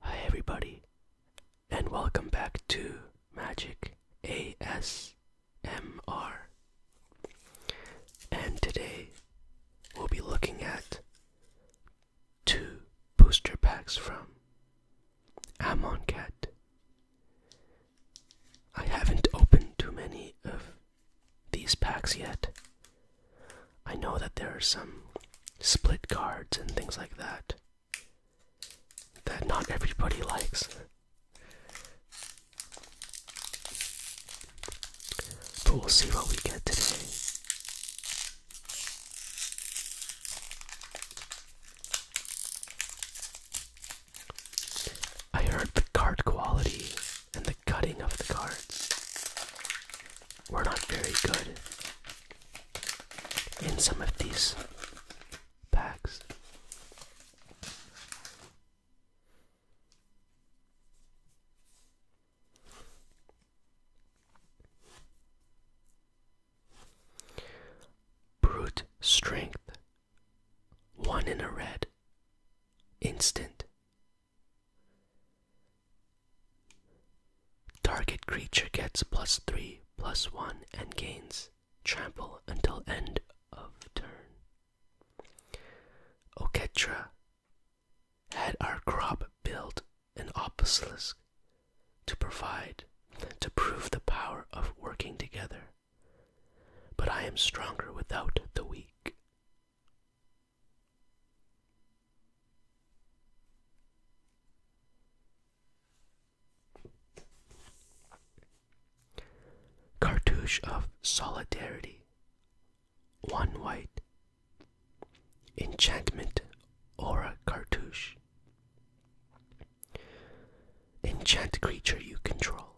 Hi, everybody, and welcome back to Magic ASMR. And today we'll be looking at two booster packs from Amoncat. I haven't opened too many of these packs yet, I know that there are some split cards and things like that that not everybody likes. But we'll see what we get today. I heard the card quality and the cutting of the cards we're not very good in some of these packs. Brute strength. One in a red. Instant. Target creature gets plus 3, plus 1, and gains trample until end of turn. Oketra had our crop built an obelisk to provide, to prove the power of working together. But I am stronger without the weak. Cartouche of Solidarity, One White, Enchantment Aura Cartouche. Enchant creature you control.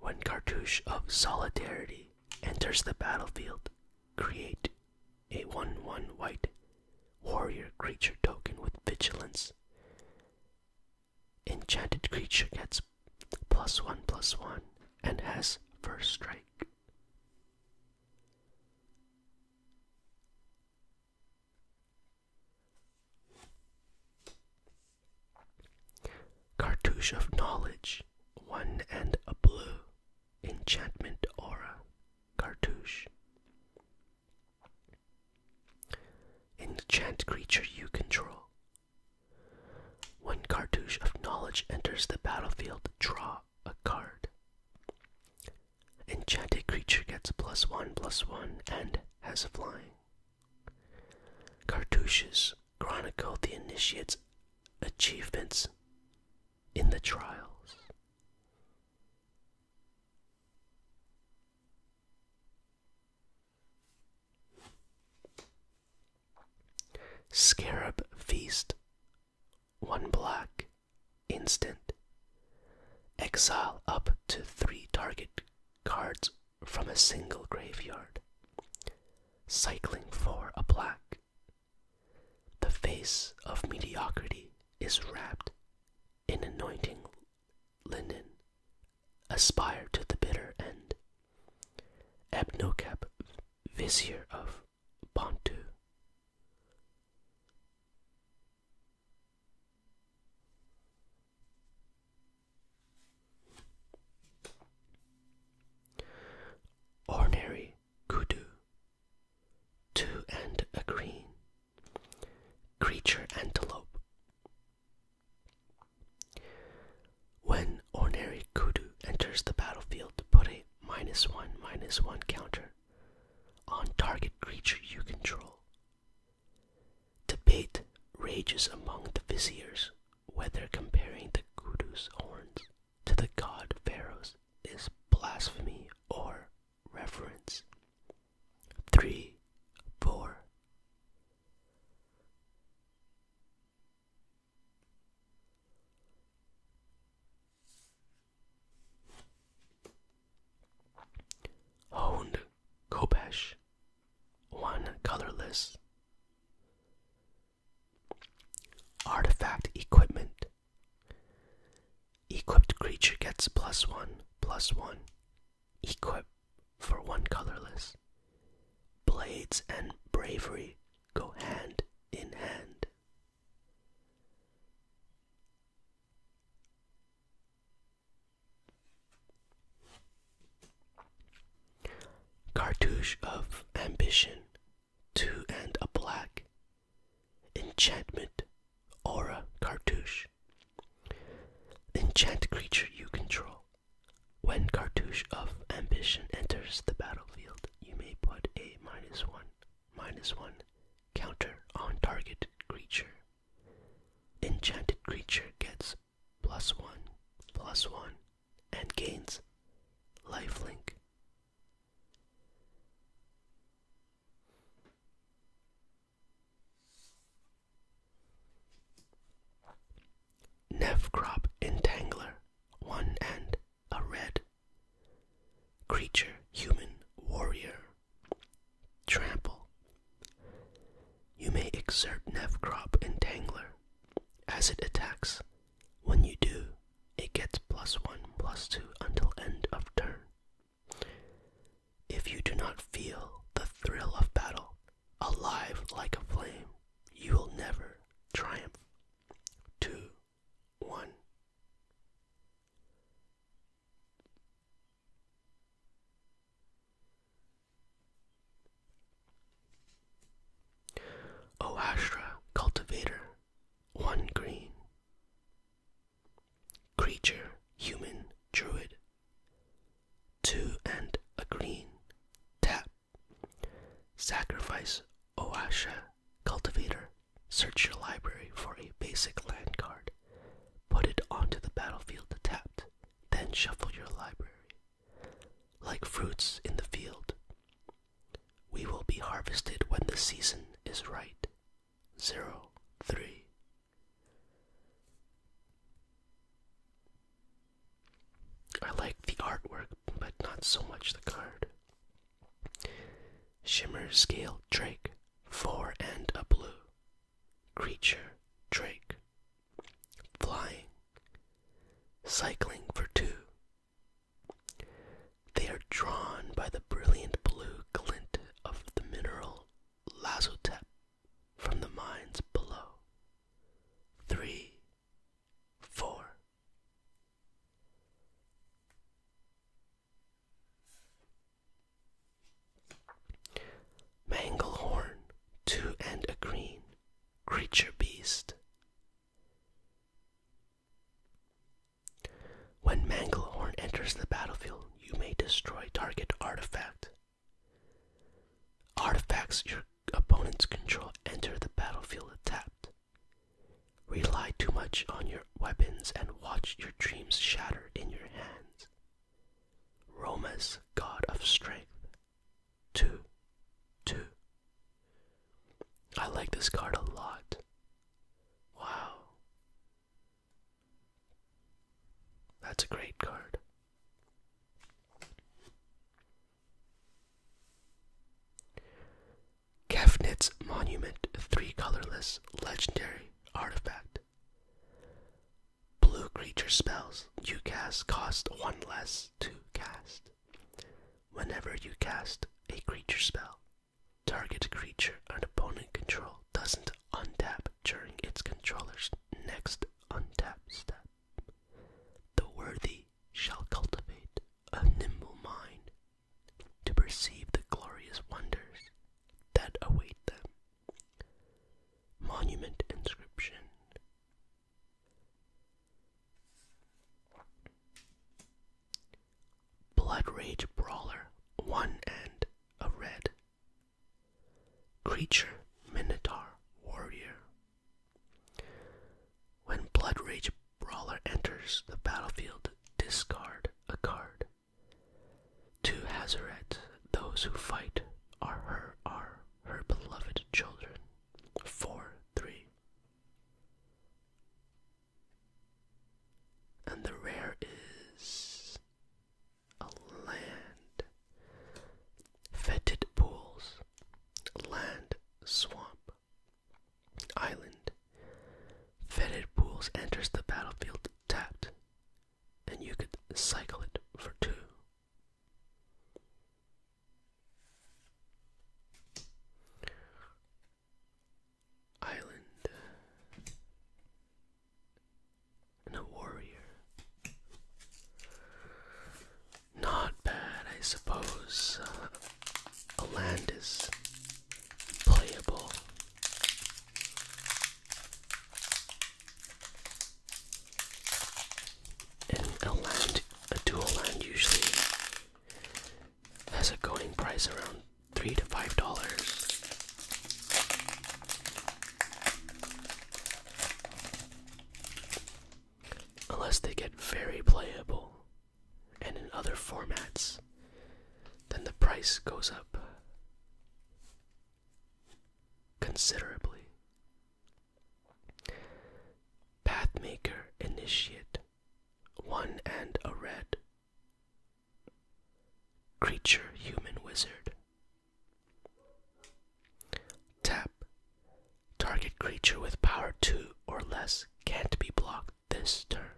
When Cartouche of Solidarity enters the battlefield, Create a 1 1 white warrior creature token with vigilance. Enchanted creature gets plus 1 plus 1 and has first strike. Cartouche of Knowledge, one and a blue enchantment aura cartouche. Enchant creature you control. One cartouche of knowledge enters the battlefield, draw a card. Enchanted creature gets plus one plus one and has flying. Cartouches chronicled the initiate's achievements in the trials. Scarab Feast, one black, instant. Exile up to three target cards from a single graveyard. Cycling for a black. The face of mediocrity is wrapped in anointing linen. Aspire to the bitter end. Abnokab, vizier of Bantu. Ordinary kudu. Two and a green. Creature antelope. When ordinary kudu enters the battlefield, put a minus one minus one counter on target creature you control. Debate rages among the viziers whether comparing the kudu's horns to the god Pharaohs is blasphemy or reverence. 3. 4. Honed Kopesh, one colorless. Artifact Equipment. Equipped creature gets plus one, plus one. Equip for one colorless. Blades and bravery go hand in hand. Cartouche of ambition, two and a black. Enchantment, aura cartouche. Enchant creature you control. When cartouche of ambition enters the battlefield, you may put a minus one, minus one counter on target creature. Enchanted creature gets plus one, plus one, and gains lifelink. Nevcrop Entangler, one and a red. Creature, human, warrior. Trample. You may exert Nevcrop Entangler as it attacks when you do, it gets plus 1 plus 2 until end of turn. If you do not feel the thrill of battle, alive like a flame, you will never triumph. 2 1 Oastra cultivator, one green. Creature, human, druid. Two and a green. Tap. Sacrifice Oasha cultivator. Search your library for a basic land card. Put it onto the battlefield tapped. Then shuffle your library like fruits in the field. We will be harvested when the season is right. 0 I like the artwork, but not so much the card. Shimmer Scale Drake, 4 and a blue. Creature Drake, flying, cycling for two. They are drawn by the brilliant blue glint of the mineral lazotep from the mines below. Three, four. Manglehorn, two and a green, creature beast. When Manglehorn enters the battlefield, you may destroy target artifact. Artifacts your opponents control enter the battlefield tapped. Rely too much on your weapons and watch your dreams shatter in your hands. Roma's God of Strength two, two. I like this card a lot. Wow. That's a great card. Kefnit's Monument, three colorless, legendary artifact. Blue creature spells you cast cost one less to cast. Whenever you cast a creature spell, target creature an opponent control doesn't untap during its controller's next untap step. The worthy shall cultivate a nimble mind to perceive the glorious wonders that await them. Monument inscription. Blood Rage Brawler, one and a red. Creature, Minotaur, Warrior. When Blood Rage Brawler enters the battlefield, discard a card. To Hazaret, those who fight are her are her beloved children. 4 3. And the rare is a land. Fetid pools, land, swamp, island. Fetid pools enters the battlefield tapped, and you could cycle it for two. Island and a warrior. Not bad, I suppose. Uh, land is playable. And a land, a dual land usually has a going price around three to five dollars. Unless they get very playable and in other formats, then the price goes up considerably. Pathmaker Initiate, one and a red. Creature Human Wizard. Tap. Target creature with power 2 or less can't be blocked this turn.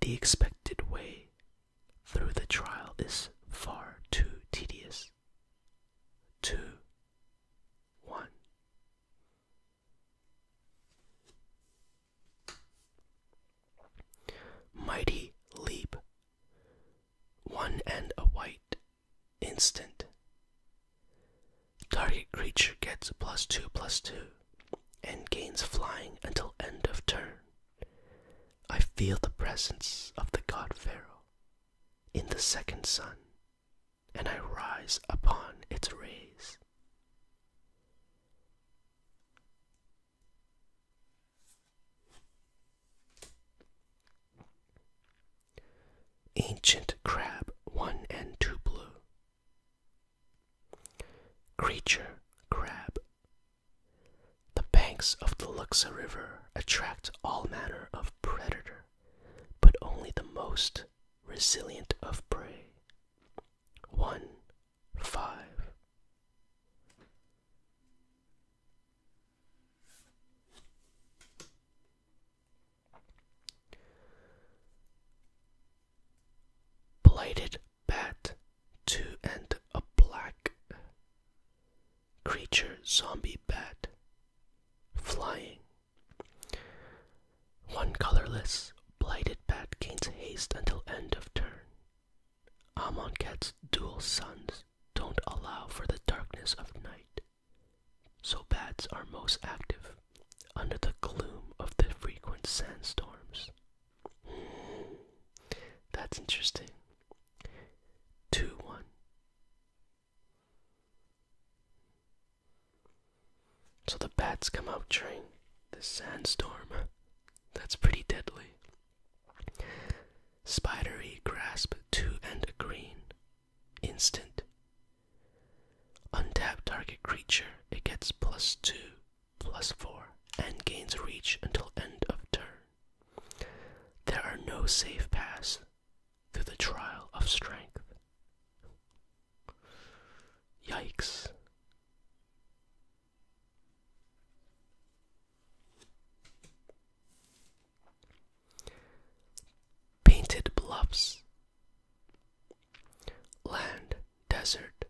The expected way through the trial is far too tedious. 2 one. Mighty leap. One and a white. Instant. Target creature gets plus two plus two and gains flying until end of turn. I feel the presence of the god Pharaoh in the second sun, and I rise upon its rays. Ancient Crab 1 and 2 Blue. Creature Crab. The banks of the Luxa River attract all manner of predator, but only the most resilient of prey. 1. 5. Blighted bat, two and a black creature zombie bat flying. One colorless blighted bat gains haste until end of turn. Amonkhet's dual suns don't allow for the darkness of night, so bats are most active under the gloom of the frequent sandstorms. Hmm. that's interesting. 2 1. So the bats come out during the sandstorm. That's pretty deadly. Spidery grasp to and a green. Instant. Untapped target creature. It gets plus two, plus four, and gains reach until end of turn. There are no safe paths through the trial of strength. Yikes. Painted bluffs. Land, desert.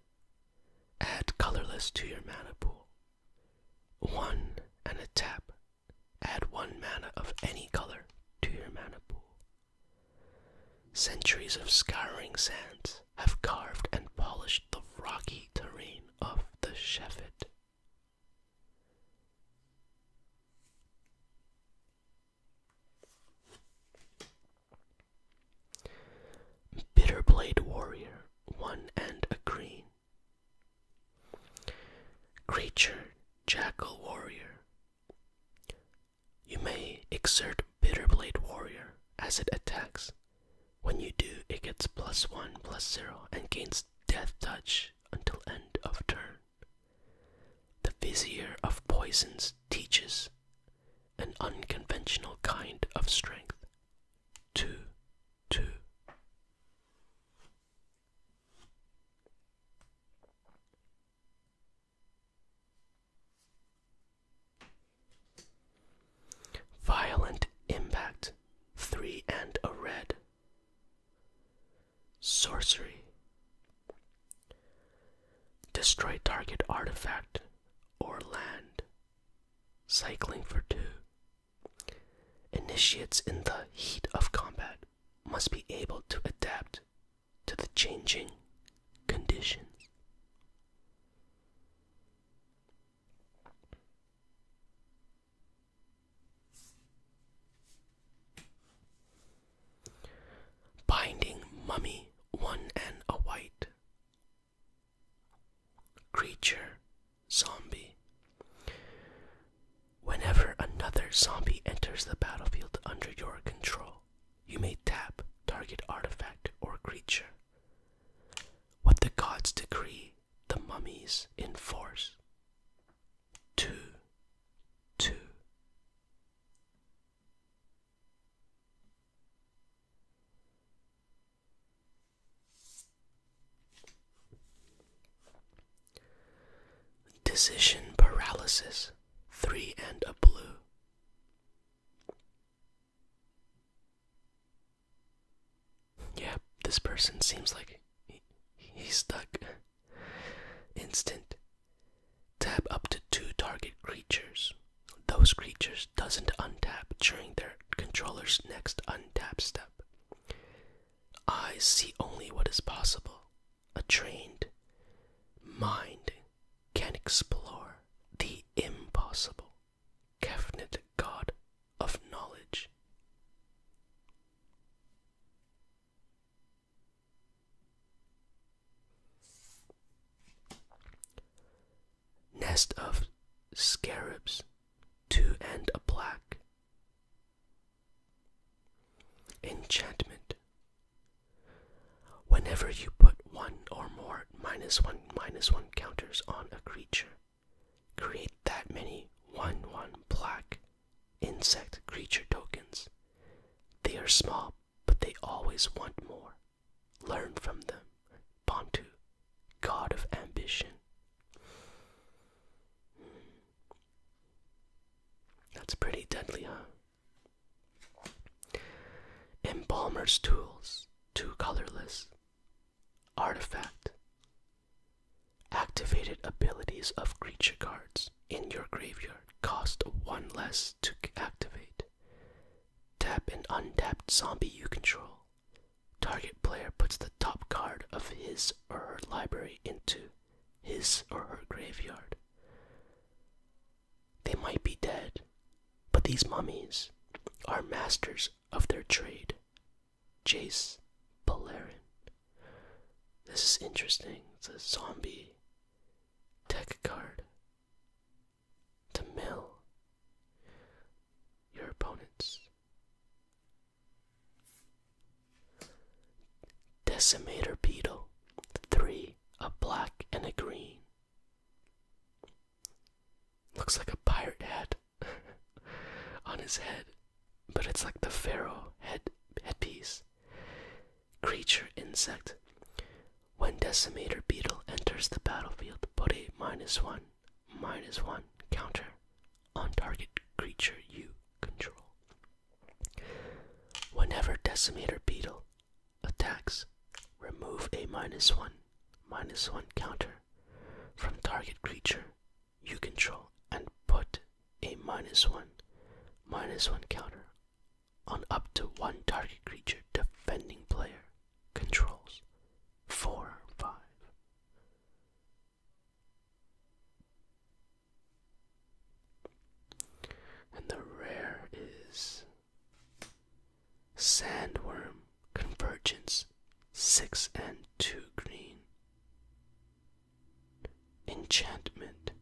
Add colorless to your mana pool. One and a tap Add one mana of any color to your mana pool. Centuries of scouring sands have carved and polished the rocky terrain of the Sheffield. Bitterblade Warrior, one and a green, Creature, Jackal Warrior. You may exert Bitter Blade Warrior as it attacks. When you do, it gets plus 1 plus 0 and gains Death Touch until end of turn. The Vizier of Poisons teaches an unconventional kind of strength. 2 two. Violent impact, three and a red. Sorcery. Destroy target artifact or land. Cycling for two. Initiates in the heat of combat must be able to adapt to the changing conditions. Binding Mummy One and a White Creature zombie. Whenever another zombie enters the battlefield under your control, you may tap target artifact or creature. What the gods decree, the mummies enforce. Two, two. Decision paralysis, three and a blue. Yeah, this person seems like he's stuck. Instant. Tap up to two target creatures. Those creatures doesn't untap during their controller's next untap step. I see only what is possible. A trained mind can explore the impossible. Kefnet, god of knowledge. Nest of scarabs. Two and a black. Enchantment. Whenever you put one or more minus one minus one counters on a creature, create that many one one black insect creature tokens. They are small, but they always want more. Learn from them. Bantu, god of ambition, that's pretty deadly, huh? Embalmer's tools, two colorless. Artifact. Activated abilities of creature cards in your graveyard cost one less to activate. Tap an untapped zombie you control. Target player puts the top card of his or her library into his or her graveyard. They might be dead, but these mummies are masters of their trade. Jace Palarin. This is interesting. It's a zombie tech card. To mill your opponents. Decimator Beetle. Three, a black and a green. Looks like a pirate hat on his head, but it's like the pharaoh head headpiece. Creature insect. When Decimator Beetle enters the battlefield, put a minus one minus one counter on target creature you control. Whenever Decimator Beetle attacks, remove a minus one minus one counter from target creature you control and put a minus one minus one counter on up to one target creature defending player controls. Four, five. And the rare is Sandworm Convergence 6 and 2 green. Enchantment.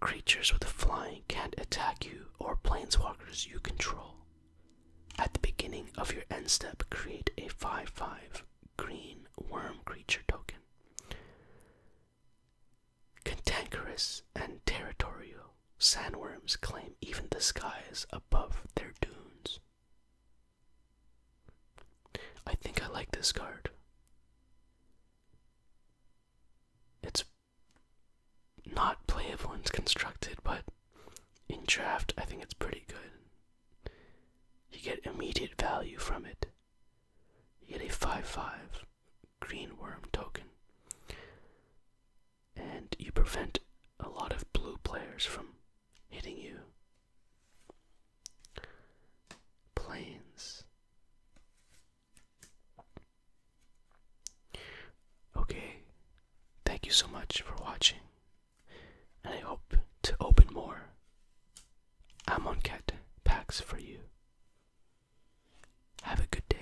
Creatures with flying can't attack you or planeswalkers you control. At the beginning of your end step, create a 5 5 green worm creature token. Cantankerous and territorial, sandworms claim even the skies above their dunes. I think I like this card. It's not playable and constructed, but in draft, I think it's pretty good. You get immediate value from it. You get a 5 5 green worm token. And you prevent a lot of blue players from hitting you. Planes. Okay, Thank you so much for watching, and I hope to open more Amonkhet packs for you. Have a good day.